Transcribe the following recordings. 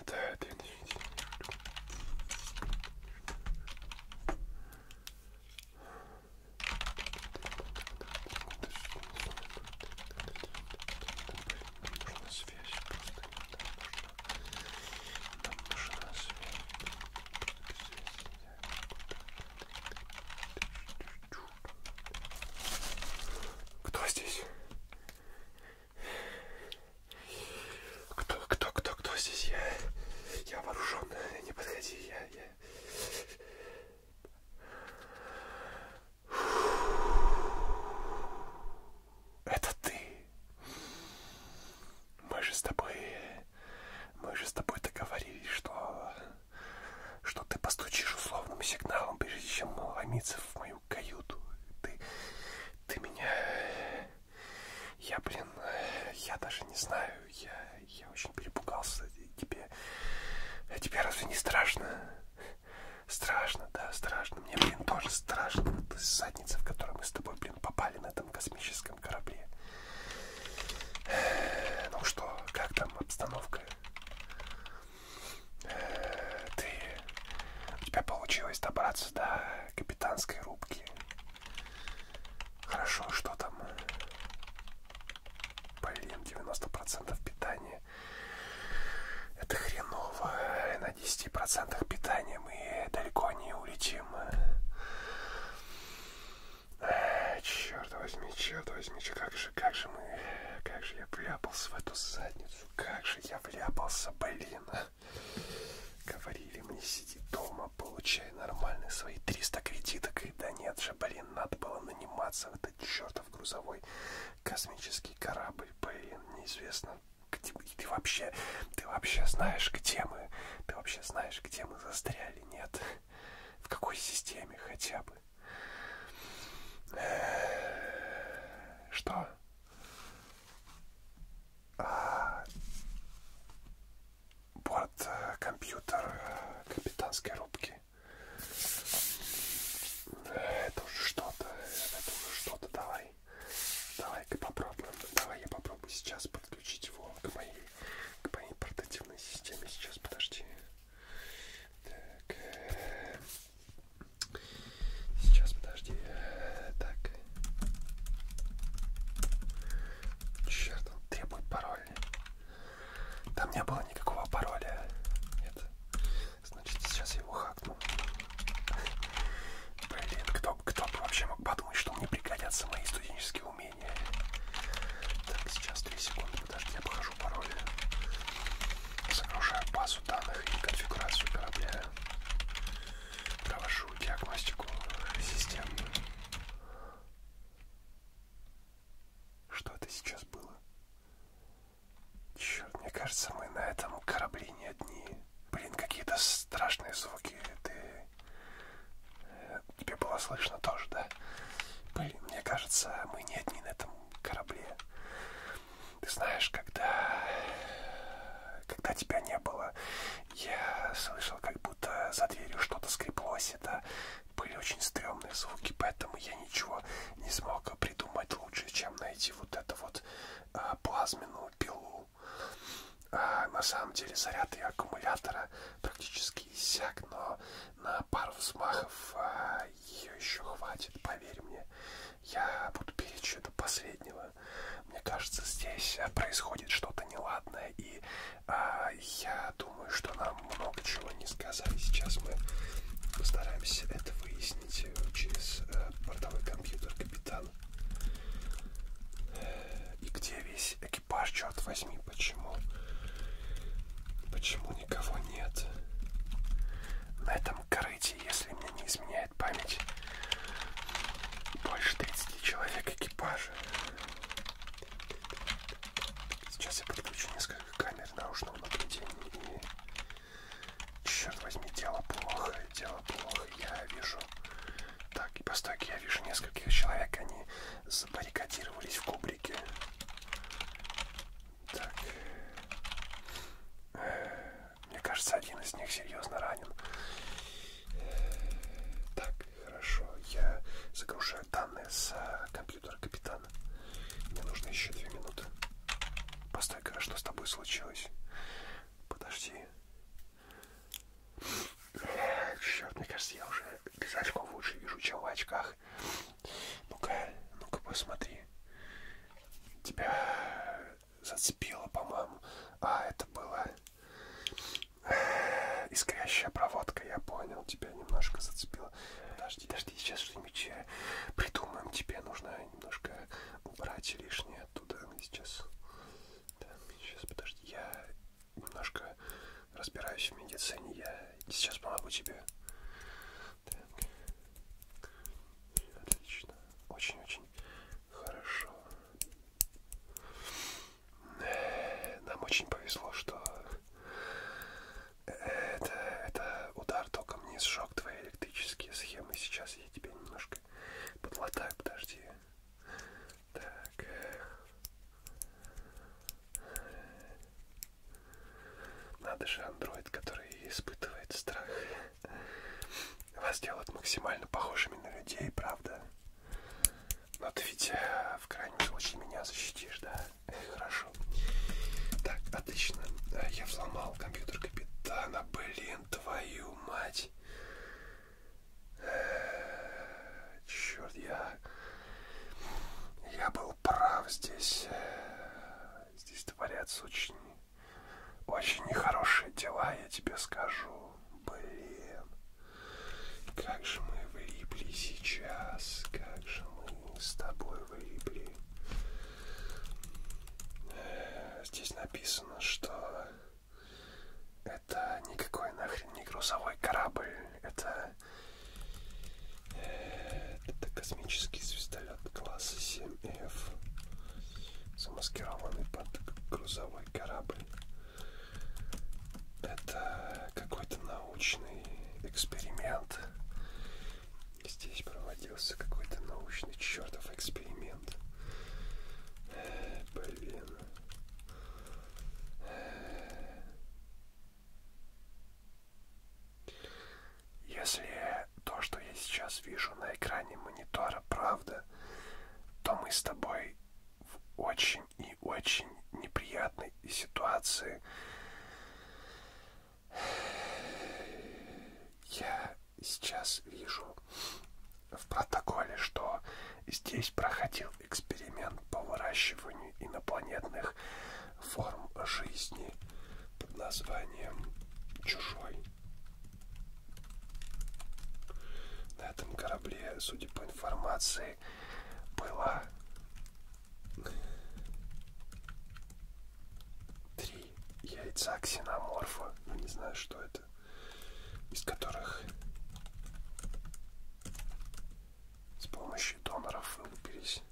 Это один нужна связь, просто нам нужна связь. Кто здесь? Кто, кто, кто, кто здесь? Я, я вооружен. Не подходи, я, я. Это ты. Мы же с тобой, мы же с тобой договорились, что что ты постучишь условным сигналом, прежде чем ломиться в мою каюту. Ты, ты меня... Я, блин, я даже не знаю, я, я очень перепугался. Тебе, а тебе разве не страшно? Страшно, да, страшно. Мне, блин, тоже страшно. Это задница, в которую мы с тобой, блин, попали на этом космическом корабле. Ну что, как там обстановка? Э, ты... У тебя получилось добраться до капитанской рубки. Хорошо, что там? Блин, 90% питания. Это хреново. На 10% питания мы далеко не улетим. Черт возьми, черт возьми, как же, как же мы, как же я вляпался в эту задницу, как же я вляпался, блин. А. Говорили мне, сиди дома, получай нормальные свои 300 кредиток, и да нет же, блин, надо было наниматься в этот чертов грузовой космический корабль, блин, неизвестно. Где, ты вообще, ты вообще знаешь, где мы, ты вообще знаешь, где мы застряли, нет? В какой системе хотя бы? Что? А, борт, э, компьютер э, капитанской рубки. Это уже что-то. Это уже что-то. Давай. Давай-ка попробуем. Давай я попробую сейчас подключить его к моей, к моей портативной системе. Сейчас, подожди. Так. Сейчас, подожди. Так. Черт, он требует пароль. Там не было никакого пароля. Нет. Значит, сейчас я его хакну. Блин, кто, кто бы вообще мог подумать, что мне пригодятся мои студенческие умения? менее. Так, сейчас 3 секунды, подожди, обхожу пароли. Загружаю базу данных и конфигурацию корабля. Провожу диагностику системы. Что это сейчас было? Черт, мне кажется, мы на этом корабле не одни. Блин, какие-то страшные звуки. Ты Тебе было слышно тоже, да? Блин, мне кажется, мы не одни на этом корабле. Ты знаешь, когда... Когда тебя не было, я слышал, как будто за дверью что-то скреплось. Это были очень стрёмные звуки, поэтому я ничего не смог придумать лучше, чем найти вот эту вот а, плазменную пилу. А, на самом деле заряд и аккумулятора практически кисяк, но на пару взмахов а, ее еще хватит, поверь мне. Я буду перечь до последнего. Мне кажется, здесь а, происходит что-то неладное, и а, я думаю, что нам много чего не сказали. Сейчас мы постараемся это выяснить э, через а, бортовой компьютер капитан. Э, и где весь экипаж, черт возьми, почему? Почему никого нет? На этом корыте, если мне не изменяет память, больше 30 человек экипажа. Сейчас я подключу несколько камер наружного наблюдения и... Черт возьми, дело плохо, дело плохо, я вижу... Так, и постойки я вижу нескольких человек, они забаррикадировались в кубрике. Так. Мне кажется, один из них серьезно ранен. Так, хорошо. Я загружаю данные с а, компьютера капитана. Мне нужно еще две минуты. Постой-ка, а что с тобой случилось? Подожди. Черт, мне кажется, я уже без очков лучше вижу, чем в очках. Ну-ка, ну-ка посмотри. Тебя зацепило, по-моему. А, это было искрящая проводка, я понял, тебя немножко зацепило. Подожди, подожди, сейчас что-нибудь э, придумаем. Тебе нужно немножко убрать лишнее оттуда. Сейчас, да, сейчас, подожди, я немножко разбираюсь в медицине. Я сейчас помогу тебе. Так. Отлично. Очень-очень хорошо. Нам очень повезло, что это, это удар током не сжег твои электрические схемы. Сейчас я тебя немножко подлатаю. Подожди. Так. Э. Надо же андроид, который испытывает страх. Вас делают максимально похожими на людей, правда? Но ты ведь э, в крайнем случае меня защитишь, да? Хорошо. Так, отлично. Э, я взломал компьютер капитана. Блин, твою мать. Черт, я... Я был прав здесь. Здесь творятся очень... Очень нехорошие дела, я тебе скажу. Блин. Как же мы влипли сейчас. Как же мы с тобой влипли. Здесь написано, что... Это никакой нахрен не грузовой корабль. Это, э, это космический звездолет класса 7F, замаскированный под грузовой корабль. Это какой-то научный эксперимент. Здесь проводился какой-то научный чертов эксперимент. Э, блин. Если то, что я сейчас вижу на экране монитора, правда, то мы с тобой в очень и очень неприятной ситуации. Я сейчас вижу в протоколе, что здесь проходил эксперимент по выращиванию инопланетных форм жизни под названием «Чужой». На этом корабле, судя по информации, было три яйца ксеноморфа. Ну, не знаю, что это ребята, из которых с помощью доноров вылупились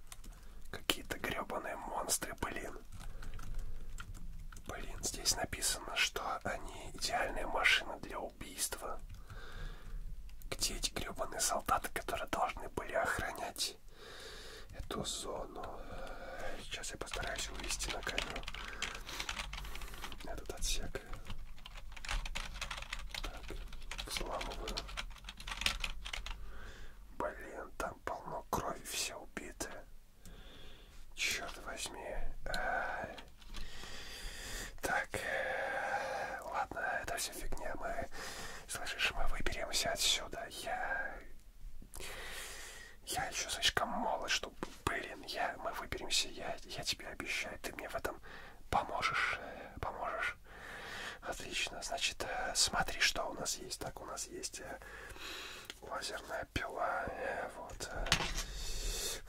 какие-то гребаные монстры, блин. Блин, здесь написано, что они идеальная машина для убийства. Где эти гребаные солдаты, которые должны были охранять эту зону? Сейчас я постараюсь вывести на камеру этот отсек. Так, взламываю. Блин, там полно крови, все убиты. Черт возьми. Так, ладно, это все фигня. Мы, слышишь, мы выберемся отсюда. Я, я еще слишком молод, чтобы что, блин, я, мы выберемся, я, я тебе обещаю, ты мне в этом поможешь, э, поможешь. Отлично, значит, э, смотри, что у нас есть. Так, у нас есть э, лазерная пила, вот,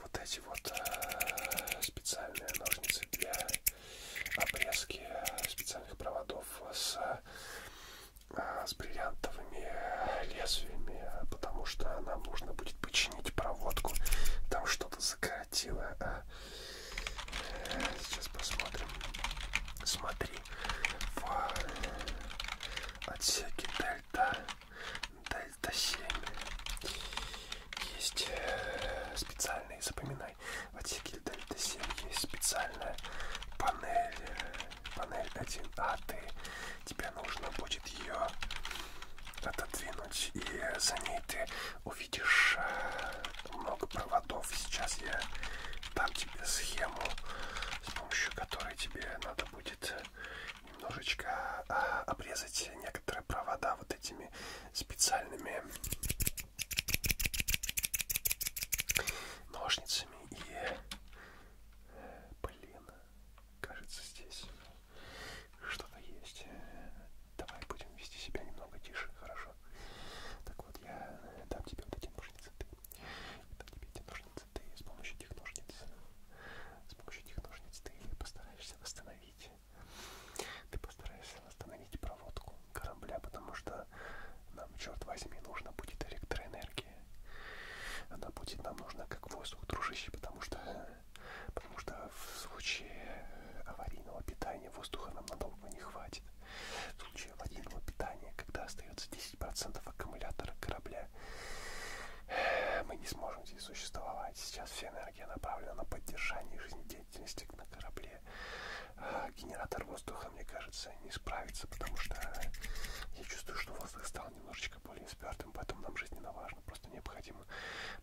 вот эти вот специальные ножницы для обрезки специальных проводов с с бриллиантовыми лезвиями, потому что нам нужно будет починить проводку. Там что-то закоротило. А, э, сейчас посмотрим. Смотри, в отсеке дельта, дельта 7 есть э, специальные, запоминай, в отсеке дельта 7 есть специальная панель э, панель 1 а ты тебе нужно будет ее отодвинуть и за ней ты увидишь э, много проводов сейчас я дам тебе схему с помощью которой тебе надо будет э, немножечко а, обрезать некоторые провода вот этими специальными ножницами и э, Блин, кажется, здесь что-то есть. Давай будем вести себя немного тише, хорошо? Так вот, я дам тебе вот эти ножницы, ты. Я дам тебе эти ножницы, ты. С помощью этих ножниц, с помощью этих ножниц ты постараешься восстановить. Ты постараешься восстановить проводку корабля, потому что нам, черт возьми, нужно будет электроэнергия дружище. Она будет нам нужна как воздух, дружище, потому что, потому что в случае э, аварийного питания воздуха нам надолго не хватит. В случае аварийного питания, когда остается 10% аккумулятора корабля, э, мы не сможем здесь существовать. Сейчас вся энергия направлена на поддержание жизнедеятельности на корабле. А, генератор воздуха просто, мне кажется, не справится, потому что я чувствую, что воздух стал немножечко более спертым, поэтому нам жизненно важно, просто необходимо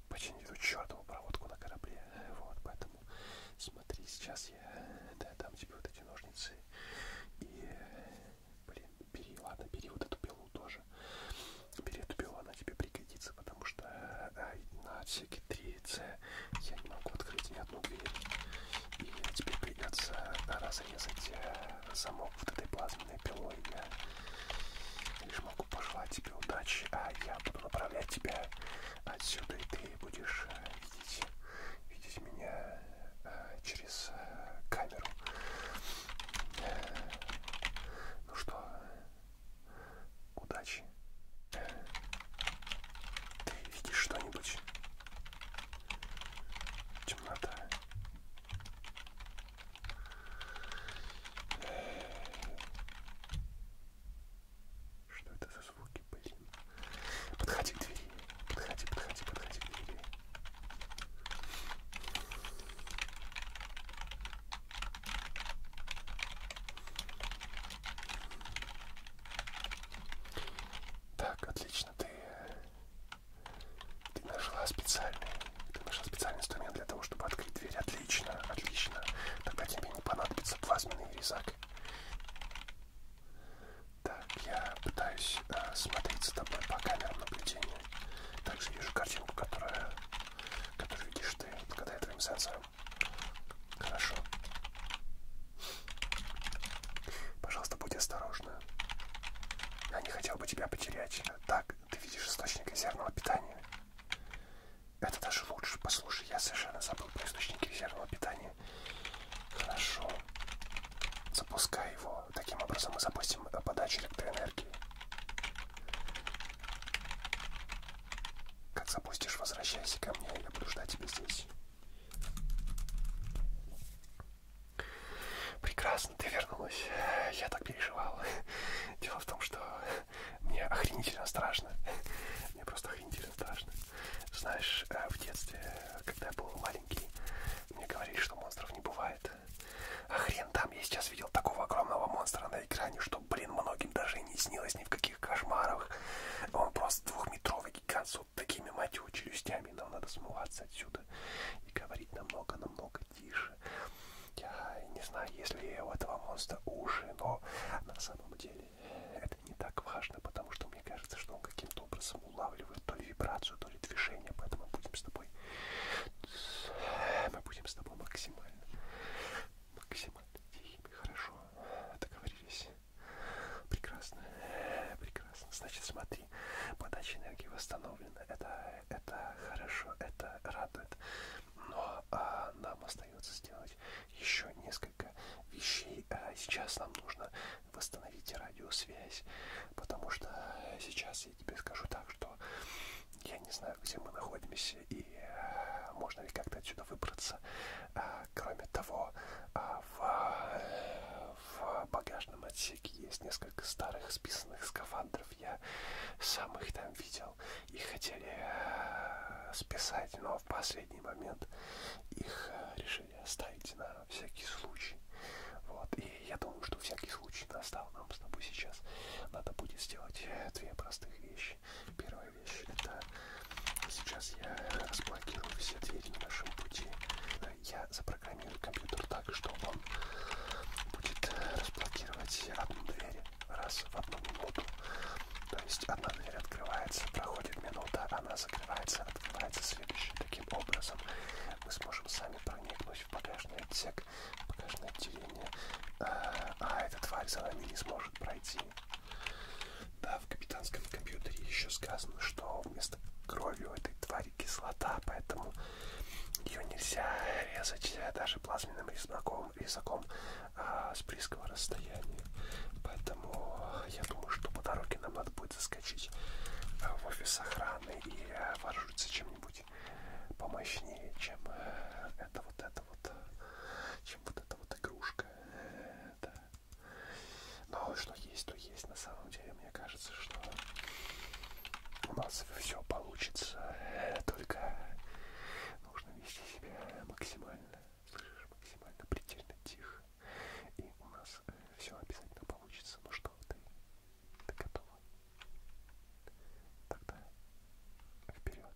починить эту чертову проводку на корабле. Вот, поэтому смотри, сейчас я да, дам тебе вот эти ножницы и, блин, бери, ладно, бери вот эту пилу тоже. Бери эту пилу, она тебе пригодится, потому что э, на отсеке 3C я не могу открыть ни неприятно выглядит. И теперь придется разрезать э, замок вот этой плазменной пилой. Я лишь могу пожелать тебе удачи, а я буду направлять тебя отсюда, и ты будешь э, видеть, видеть меня э, через камеру. Ну что, удачи. Ты видишь что-нибудь? темнота. Что это за звуки, блин? Подходи к двери. Подходи, подходи, подходи к двери. Так, отлично конечно, ты, ты нашла специальный, ты нашла специальный инструмент для того, чтобы открыть дверь. Отлично, отлично. Тогда тебе не понадобится плазменный резак. Так, я пытаюсь э, смотреть за тобой по камерам наблюдения. Также вижу картинку, которая, которую видишь ты благодаря твоим сенсорам. Хорошо. Пожалуйста, будь осторожна. Я не хотел бы тебя потерять. Так, ты видишь источник резервного питания. Это даже лучше. Послушай, я совершенно забыл про источник резервного питания. Хорошо. Запускай его. Таким образом мы запустим э, подачу электроэнергии. Как запустишь, возвращайся ко мне. Я буду ждать тебя здесь. Прекрасно, ты вернулась. Я так переживал. Дело в том, что мне охренительно страшно. Мне просто охренительно страшно. Знаешь, э, в детстве, когда я был маленький, мне говорили, что монстров не бывает. А хрен там, я сейчас видел такого огромного монстра на экране, что, блин, многим даже не снилось ни в каких кошмарах. Он просто двухметровый гигант с вот такими, мать его, челюстями. Нам надо смываться отсюда и говорить намного-намного тише. Я не знаю, если у этого монстра уши, но на самом деле это не так важно, потому что мне кажется, что он каким-то образом улавливает то ли вибрацию, то ли движение, поэтому мы будем с тобой, мы будем с тобой максимально, максимально тихими, хорошо, договорились. Прекрасно. Прекрасно. Значит, смотри, подача энергии восстановлена. Это, это хорошо, это радует. Но а, нам остается сделать еще несколько вещей. А сейчас нам нужно восстановить радиосвязь, потому что сейчас я тебе скажу так, что я не знаю, где мы находимся и а, можно ли как-то отсюда выбраться. А, Кроме того, а, в, в багажном отсеке есть несколько старых списанных скафандров. Я сам их там видел. Их хотели э, списать, но в последний момент их э, решили оставить на всякий случай. Вот. И я думаю, что всякий случай настал нам с тобой сейчас. Надо будет сделать э, две простых вещи. Первая вещь. Это сейчас я разблокирую все двери на нашем пути. Я запрограммирую компьютер так, что он будет разблокировать одну дверь раз в одну минуту. То есть одна дверь открывается, проходит минута, она закрывается, открывается следующая. Таким образом мы сможем сами проникнуть в багажный отсек, в багажное отделение, а, а эта тварь за нами не сможет пройти. Да, в капитанском компьютере еще сказано, что вместо крови у этой твари кислота, поэтому ее нельзя резать э, даже плазменным резаком, резаком а, с близкого расстояния. Поэтому я думаю, что по дороге нам надо будет заскочить э, в офис охраны и э, вооружиться чем-нибудь помощнее, чем это вот это вот, чем вот эта вот игрушка. Да. Но что есть, то есть. На самом деле, мне кажется, что у нас все получится. Только нужно вести себя максимально, слышишь, максимально предельно тихо. И у нас э, все обязательно получится. Ну что, ты, ты готова? Тогда вперед.